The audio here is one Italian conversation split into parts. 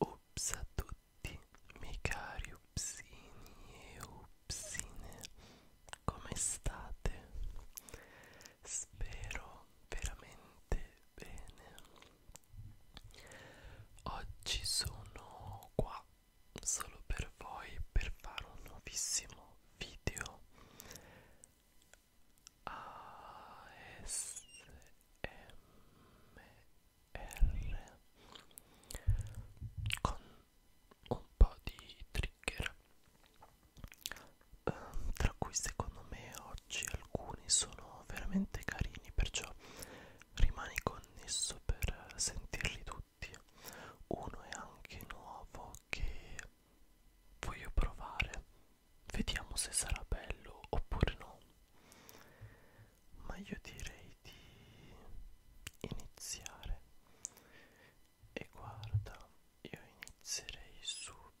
Ups a tutti, miei cari upsini e upsine, come state? Spero veramente bene. Oggi sono qua solo per voi per fare un nuovissimo video ASMR con un po' di trigger um, tra cui secondo me oggi alcuni sono veramente carini perciò rimani connesso per sentirli tutti prodotti uno è anche nuovo che voglio provare vediamo se sarà bello oppure no ma io direi di iniziare e guarda io inizierei subito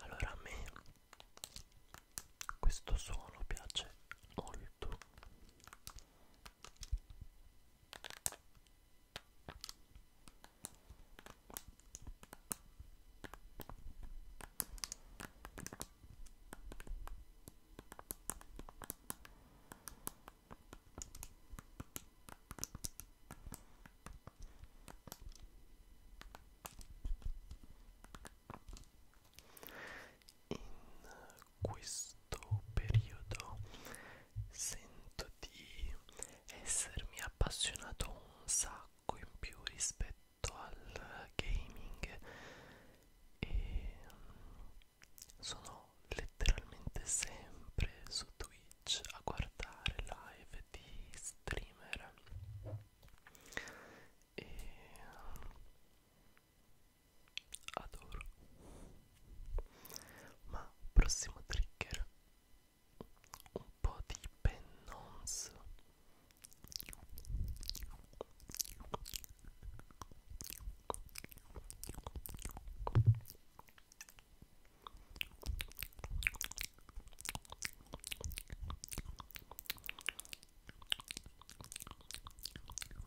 Allora a me questo suono piace molto in questo periodo sento di essermi appassionato un sacco in più rispetto al gaming e mm, sono letteralmente sempre su Twitch a guardare live di streamer e mm, adoro ma prossimo trigger un po' di pennons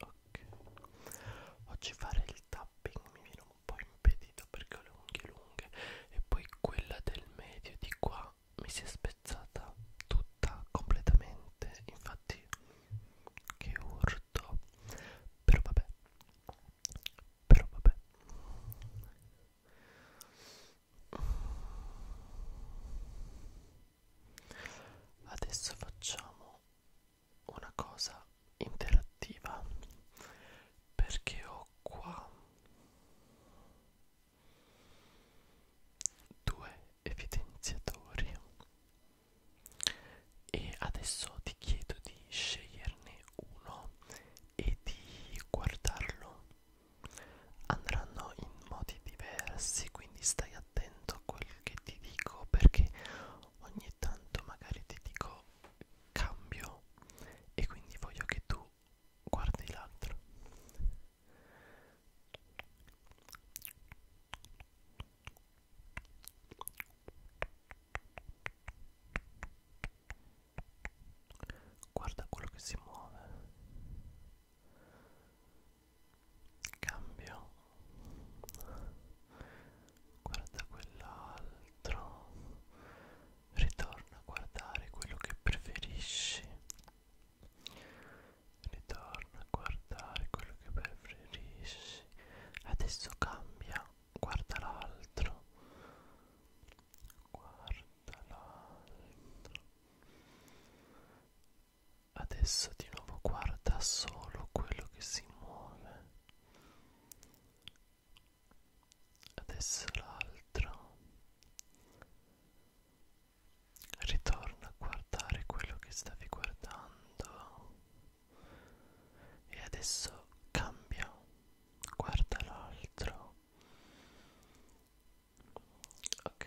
Ok, oggi fare il tapping mi viene un po' impedito perché ho le unghie lunghe e poi quella del medio di qua mi si è spezzata tutta completamente, infatti che urto, però vabbè però vabbè adesso facciamo una cosa interattiva perché ho qua due evidenziatori e adesso ti chiedo di sceglierne uno e di guardarlo andranno in modi diversi quindi stai attento a quello che ti dico perché ogni tanto magari ti dico cambio e quindi voglio che tu guardi l'altro Guarda quello che si muove. Cambio. Guarda quell'altro. Ritorna a guardare quello che preferisci. Ritorna a guardare quello che preferisci. Adesso cambia guarda l'altro guarda l'altro adesso di nuovo guarda solo quello che si muove adesso l'altro ritorna a guardare quello che stavi guardando e adesso cambia guarda l'altro ok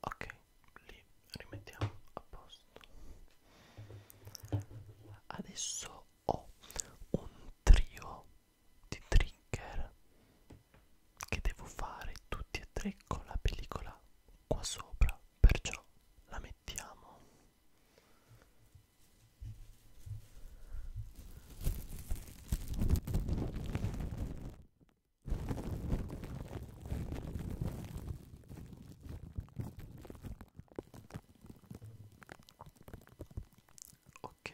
ok li rimettiamo a posto adesso ho un trio di trigger che devo fare tutti e tre con la pellicola qua sopra perciò la mettiamo Ok,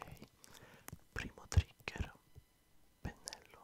primo trigger, pennello.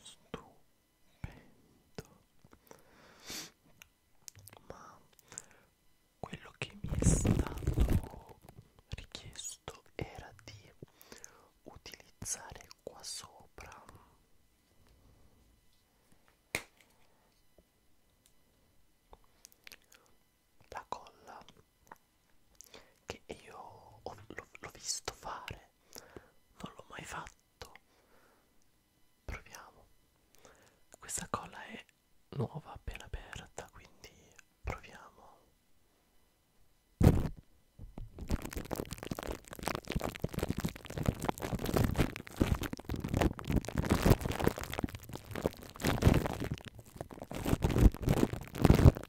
stupendo ma quello che mi è stato richiesto era di utilizzare qua sopra la colla che io ho, l'ho visto fare, non l'ho mai fatto. Proviamo. Questa colla è nuova, appena aperta, quindi proviamo.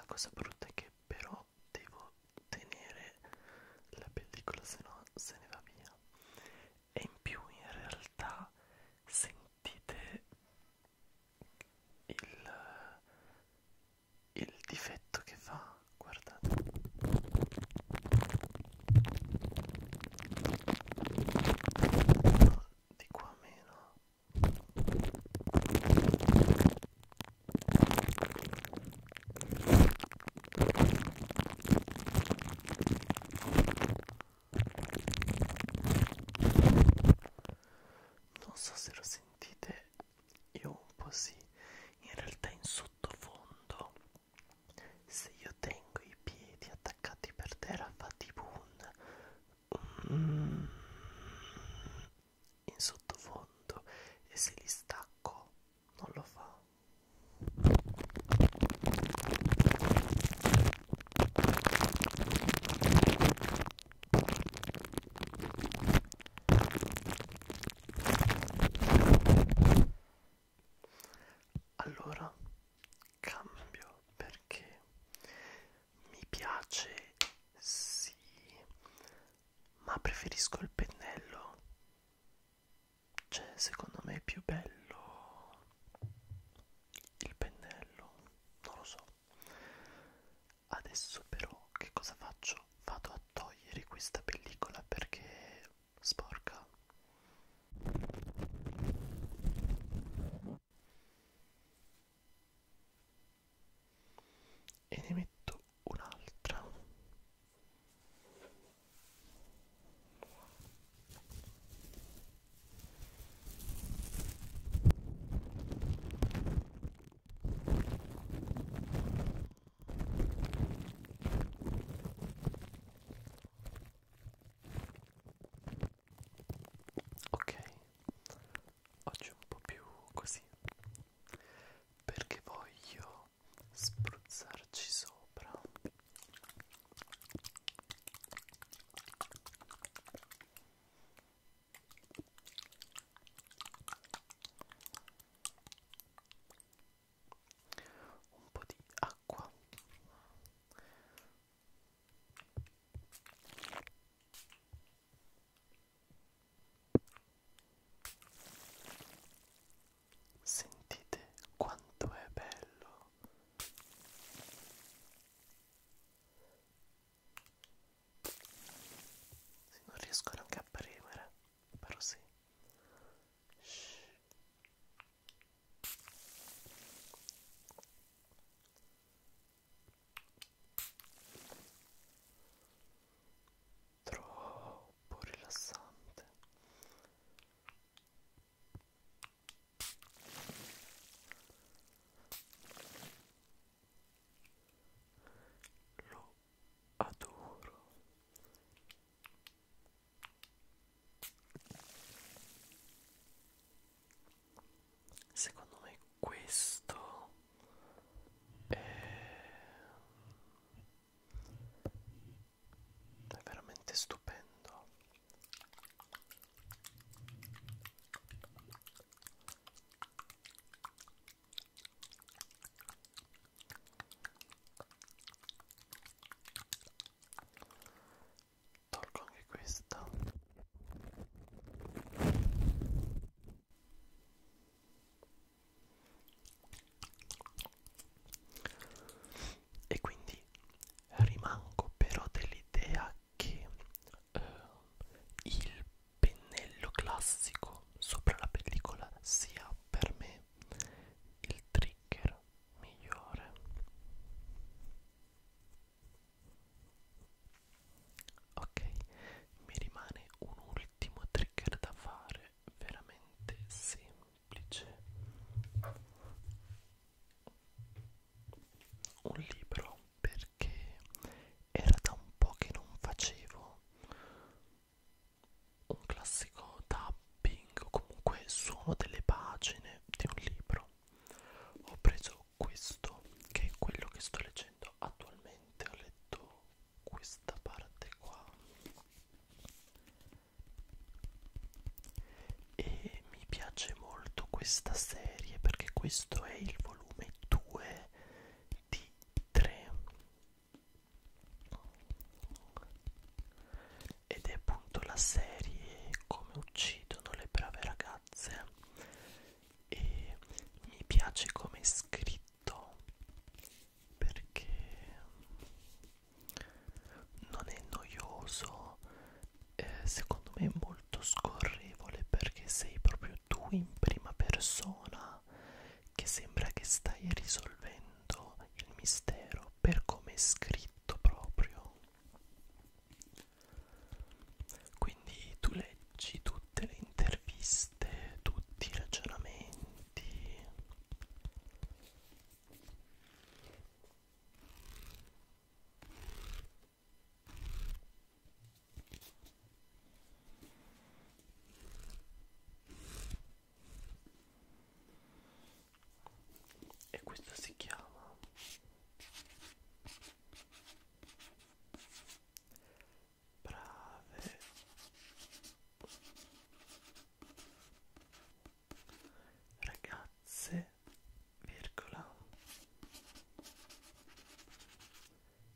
La cosa brutta è che però devo tenere la pellicola se no se ne va via e in più in realtà sentite il, il difetto che fa guardate di qua meno non so se lo sentite io un po' sì in realtà in sottofondo se io tengo i piedi attaccati per terra fa tipo un mm, in sottofondo e se li stacco non lo fa allora cambio perché mi piace sì, ma preferisco il pennello c'è secondo me più bello il pennello, non lo so. Adesso però che cosa faccio? Vado a togliere questa pellicola perché sporca. E ne metto un'altra Ok, oggi un po' più così perché voglio spruzzarci sopra un po' di acqua Sentite quanto è bello sì, non riesco neanche a premere, però sì. Shhh. Troppo rilassante. Lo adoro. Secondo me questo è è veramente stupendo tolgo anche questa e quindi quindi rimango però dell'idea che eh, il pennello classico sopra la pellicola sia per me il trigger migliore ok mi rimane un ultimo trigger da fare veramente semplice semplice un libro perché era da un po' che non facevo un classico tapping o comunque suono delle pagine di un libro ho preso questo che è quello che sto leggendo attualmente ho letto questa parte qua e mi piace molto questa serie perché questo è il volume 2 di 3 ed è appunto la serie come uccidono le brave ragazze e mi piace come è scritto perché non è noioso eh, secondo me è molto scorrevole perché sei proprio tu in prima persona che sembra che stai risolvendo il mistero per come è scritto proprio quindi tu leggi tutte le interviste tutti i ragionamenti e questa si chiama brave ragazze virgola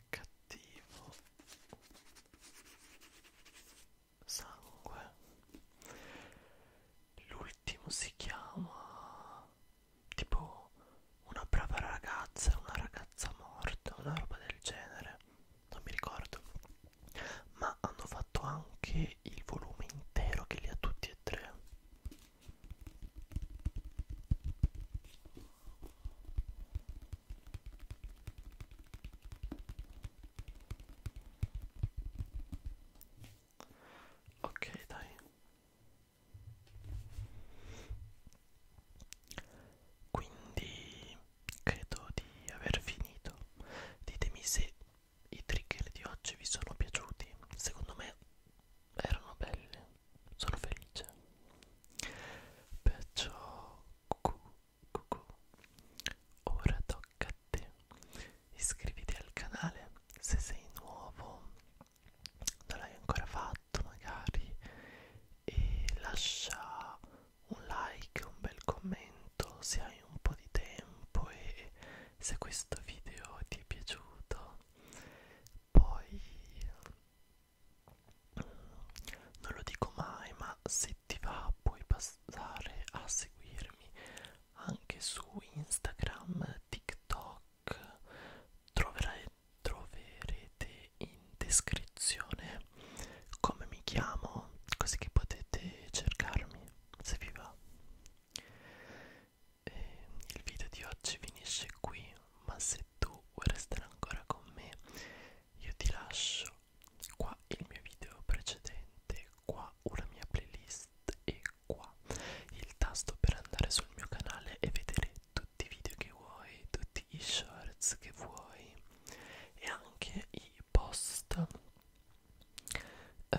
cattivo sangue l'ultimo si chiama tipo una brava ragazza una ragazza morta una roba del genere non mi ricordo ma hanno fatto anche il volume intero che li ha tutti e tre Ok, dai. Quindi credo di aver finito. Ditemi se i trigger di oggi vi sono piaciuti secondo me erano belli sono felice perciò cucù, cucù. ora tocca a te iscriviti al canale se sei nuovo non l'hai ancora fatto magari e lascia un like un bel commento se hai un po' di tempo e se questo video ti è piaciuto poi non lo dico mai ma se ti va puoi passare a seguirmi anche su Instagram, TikTok troverai, troverete in descrizione come mi chiamo così che potete cercarmi se vi va eh, il video di oggi finisce qui ma se tu vuoi restare ancora con me io ti lascio qua il mio video precedente qua una mia playlist e qua il tasto per andare sul mio canale e vedere tutti i video che vuoi tutti i shorts che vuoi e anche i post eh,